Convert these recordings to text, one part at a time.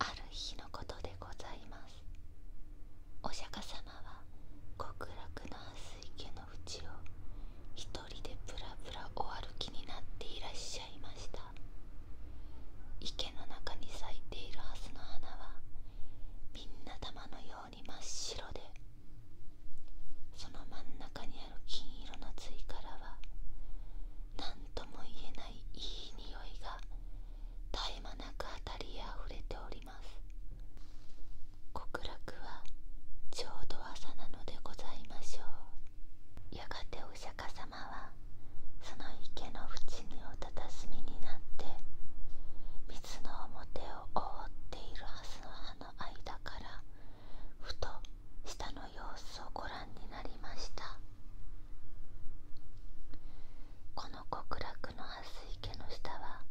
ある日のことでございますお釈迦様は極楽の蓮池の淵を一人でぶらぶらお歩きになっていらっしゃいました池の中に咲いているハスの花はみんな玉のように真っ白でその真ん中にある金色のつからは何とも言えない。ないいい匂いが絶え間なくあたりへあふれております極楽はちょうど朝なのでございましょうやがてお釈迦様はその池の縁におたたしみになって水の表を覆っている蓮の葉の間からふと下の様子をご覧になりましたこの極楽の蓮池の下は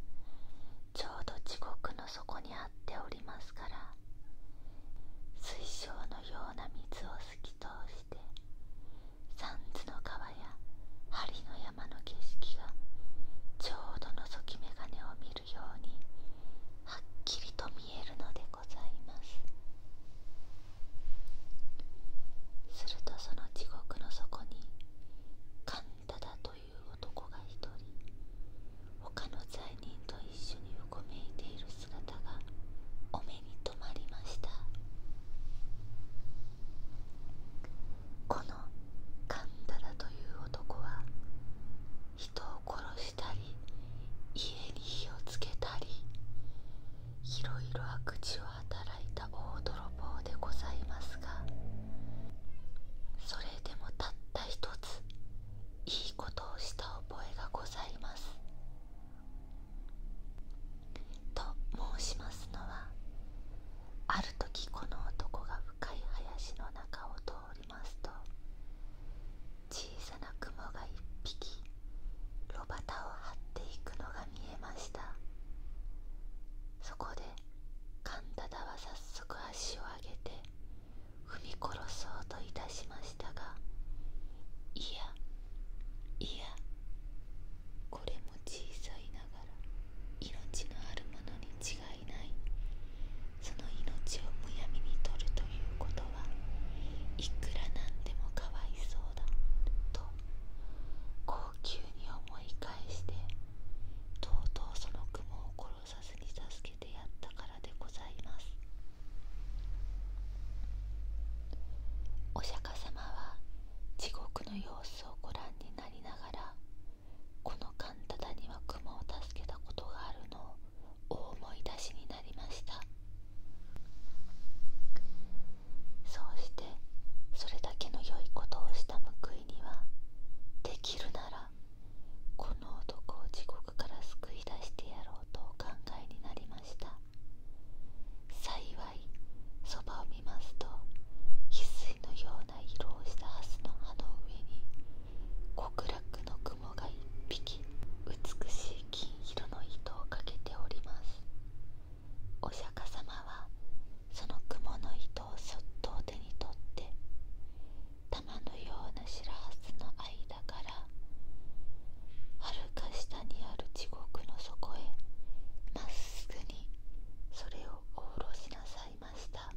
ちょうど地獄の底にあっておりますから水晶のような水を透き通して三途の川や梁の山の景色がちょうどのぞき眼鏡を見るようにはっきりと見えるのでするとその地獄の底にカンダダという男が一人他の罪人と一緒にうごめいている姿がお目に留まりましたこのカンダダという男は人を殺したり家に火をつけたりいろいろ悪事を働いた大泥棒でございますがそれでもたった一ついいことをした覚えがございます。と申しますのはある時この男が深い林の中を通りますと小さな雲が一匹炉端を張っていくのが見えましたそこでカンタダは早速足を上げて踏み殺そうといたしましたがいやいやこれも小さいながら命のあるものに違いないその命をむやみに取るということはいくらなんでもかわいそうだと高級に思い返してとうとうその雲を殺さずに助けてやったからでございますお釈迦様は地獄の様子をご覧になりながらこのカンタダには雲を助けたことがあるのを思い出しになりましたそうしてそれだけの良いことをした報いにはできるならこの男を地獄から救い出してやろうとお考えになりました幸いそばを見ますと翡翠のような色をしたハスの葉の上に極楽の雲が一匹美しい金色の糸をかけておりますお釈迦様はその雲の糸をそっと手に取って玉のような白髪の間からはるか下にある地獄の底へまっすぐにそれをおろしなさいました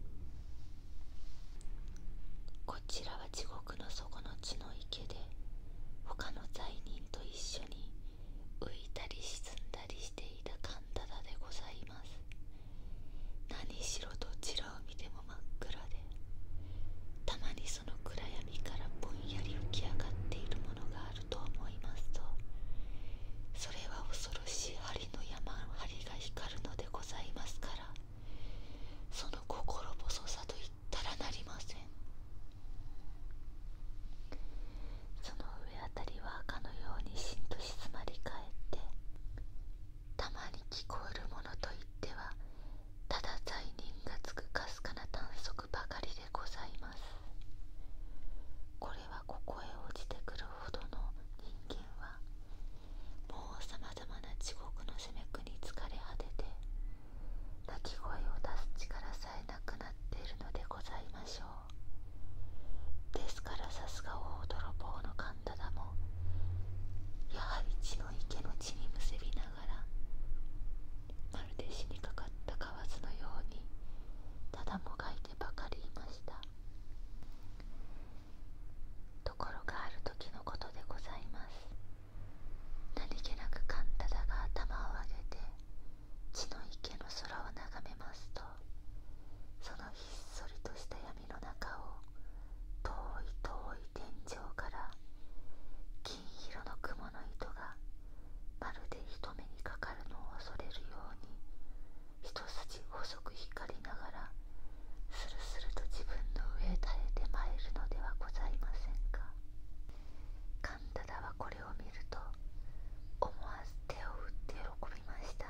こちらは地獄の底の血の池で他の罪人と一緒に浮いたり沈んだりしていたカンダダでございます何しろどちらを見ても真っ暗でたまにその暗闇からぼんやり浮き上がっているものがあると思いますとそれは恐ろしい針の山針が光るのでございますからその心細さといったらなりませんその上あたりはかのようにしんと静まり返ってたまに聞こえるものといってはただ罪人がつくかすかな短足ばかりでございますこれはここへ落ちてくるほどの人間はもうさままざまな地獄の責め苦に疲れ果てて鳴き声を出す力さえなくなっているのでございましょうですからさすが大泥棒のカンタダもやはり血の池の血にむせびながらまるで死にかかったカワスのようにただもがいてばかりいましたところがある時のことでございます何気なくカンタダが頭を上げて血の池の空を眺めますとそのひっそりとした闇の中を遠い遠い天井から金色の雲の糸がまるで人目にかかるのを恐れるように一筋細く光りながらスルスルと自分の上へ垂れてまいるのではございませんかカンタダはこれを見ると思わず手を打って喜びました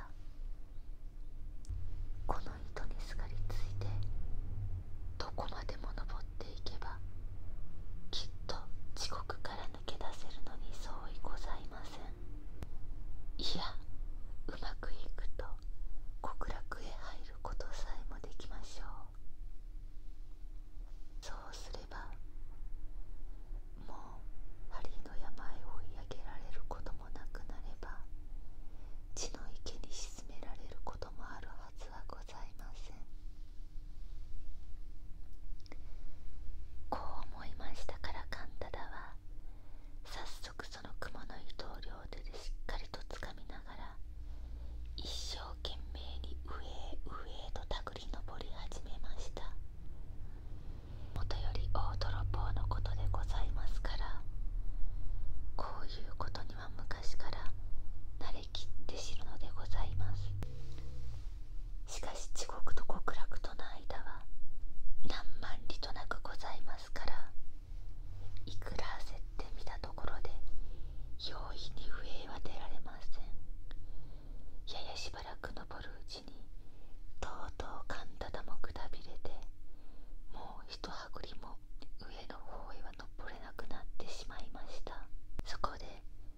この糸にすがりついてどこまでも登っていけばきっと地獄から抜け出せるのに相違ございませんいやうまくいくと極楽へ入ることさえもできましょうそうすればもう針の病を追い上げられることもなくなれば血の池に沈められることもあるはずはございませんこう思いましたからカンタダは早速その雲の糸を両手でしっかりとつかみながら一生懸命に上へ上へとたぐり登り始めましたもとより大泥棒のことでございますからこういうことには昔から慣れきって知るのでございますしかし地獄と極楽との間は何万里となくございまますからいくら焦ってみたところで容易に笛は出られませんややしばらく登るうちにとうとうかんだだもくたびれてもうひとはぐりも上の方へは登れなくなってしまいましたそこで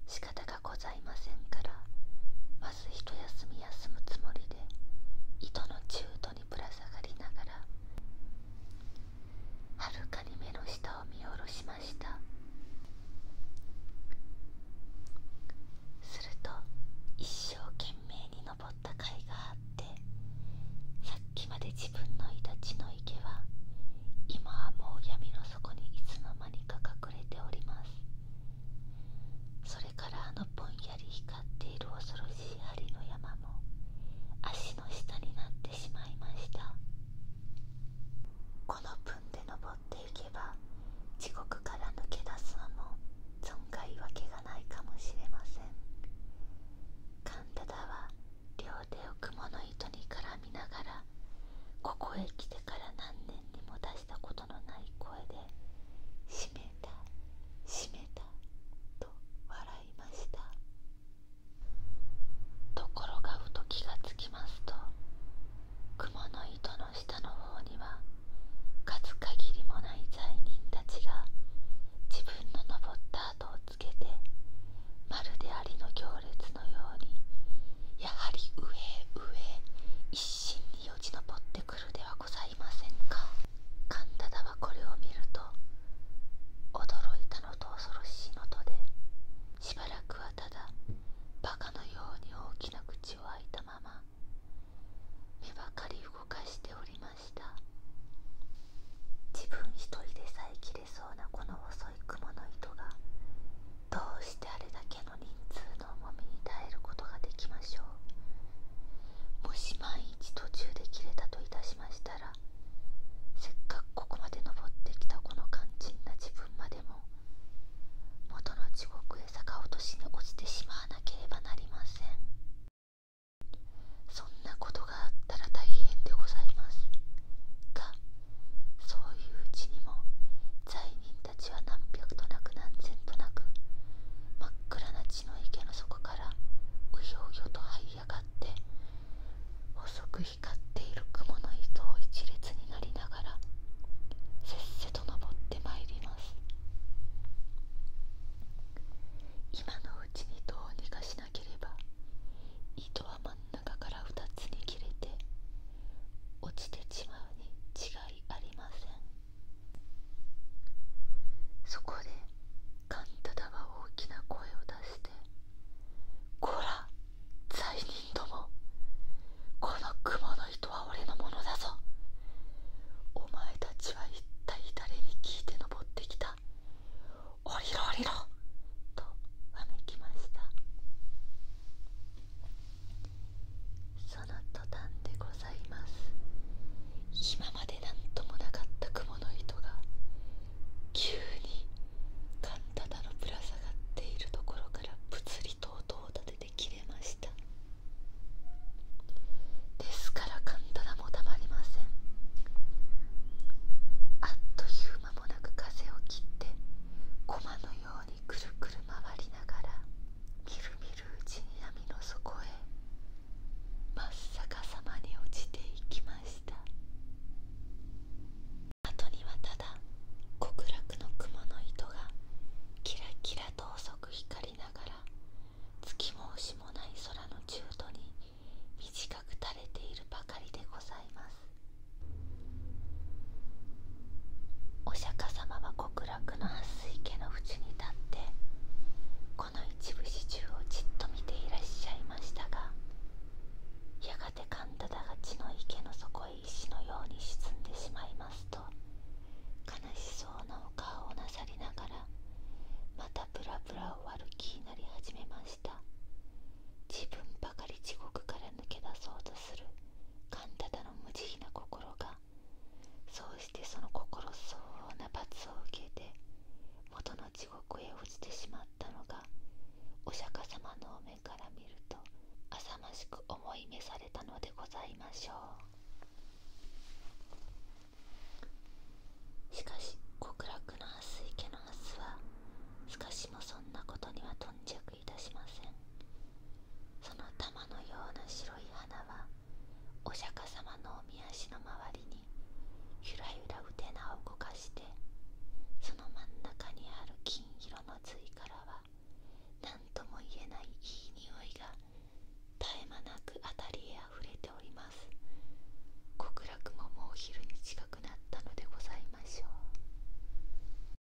仕方がございませんからまずひと休み休むつもりで糸の中ぶら下がりながらはるかに目の下を見下ろしましたすると一生懸命に登った甲斐があってさっきまで自分のいたちの池は今はもう闇の底にいつの間にか隠れておりますそれからあのぼんやり光っている恐ろしい針の山も足の下になってしまいましたこの分で登っていけば地獄から抜け出すのも存外わけがないかもしれませんカンタダは両手を雲の糸に絡みながらここへ来てから何年にも出した言のない声で「しめたしめた」と笑いましたところがふと気がつきますと雲の糸の下の方には数限りもない罪人たちが自分の登った跡をつけてまるでありの行列のようにやはり上上一心によじ登ってくるではございいませんかカンはこれを見ると驚いたのと恐ろしいのとでしばらくはただバカのように大きな口を開いたまま目ばかり動かしておりました自分一人でさえ切れそうなこの細い雲の糸がどうしてあれだけの人数の重みに耐えることができましょうもし万一途中で切れたといたしましたらせっかくここまで登ってきたこの肝心な自分までも元の地獄へ坂落としに落ちてしまわなければなりませんそんなことがあったら大変でございますがそういううちにも罪人たは何百となく何千となく真っ暗な血の池の底からうようよと這い上がって細く光っている雲の糸を一列になりながらせっせと登ってまいります今のうちにどうにかしなければ糸は真ん中から2つに切れて落ちてしまうに違いありませんそこでカンタダは大きな声を出して「こら罪人どもこの雲の糸は俺のものだぞお前たちは一体誰に聞いて登ってきた降りろ降りろ!」とわめきましたその途端でございます今まで何ともなかった雲の糸が急にカンタタのぶら下がっているところからぷつりと音を立てて切れましたですからカンタタもたまりませんあっという間もなく風を切って駒のようにくるくる回りながらみるみるうちに闇の底へ真っ逆さまに落ちていきました後にはただ極楽の雲の糸がキラキラと細く光りながら月もしもない空の中途に短く垂れているばかりでございますお釈迦様は極楽の蓮池の縁に立ってこの一部始終をじっと見ていらっしゃいましたがやがて神ンタが血の池の底へ石のように沈んでしまいますと悲しそうなお顔をなさりながらまたブラブラを割る気になり始めました自分ばかり地獄から抜け出そうとカンタタの無慈悲な心がそうしてその心相応な罰を受けて元の地獄へ落ちてしまったのがお釈迦様のお目から見ると浅ましく思い召されたのでございましょうしかし極楽の蓮池の蓮はしかしもそんなことには頓着いたしませんその玉のような白い花はお釈迦様のおみ足の周りにゆらゆらうてなを動かしてその真ん中にある金色のつからは何とも言えないいい匂いが絶え間なくあたりへあふれております極楽ももう昼に近くなったのでございましょう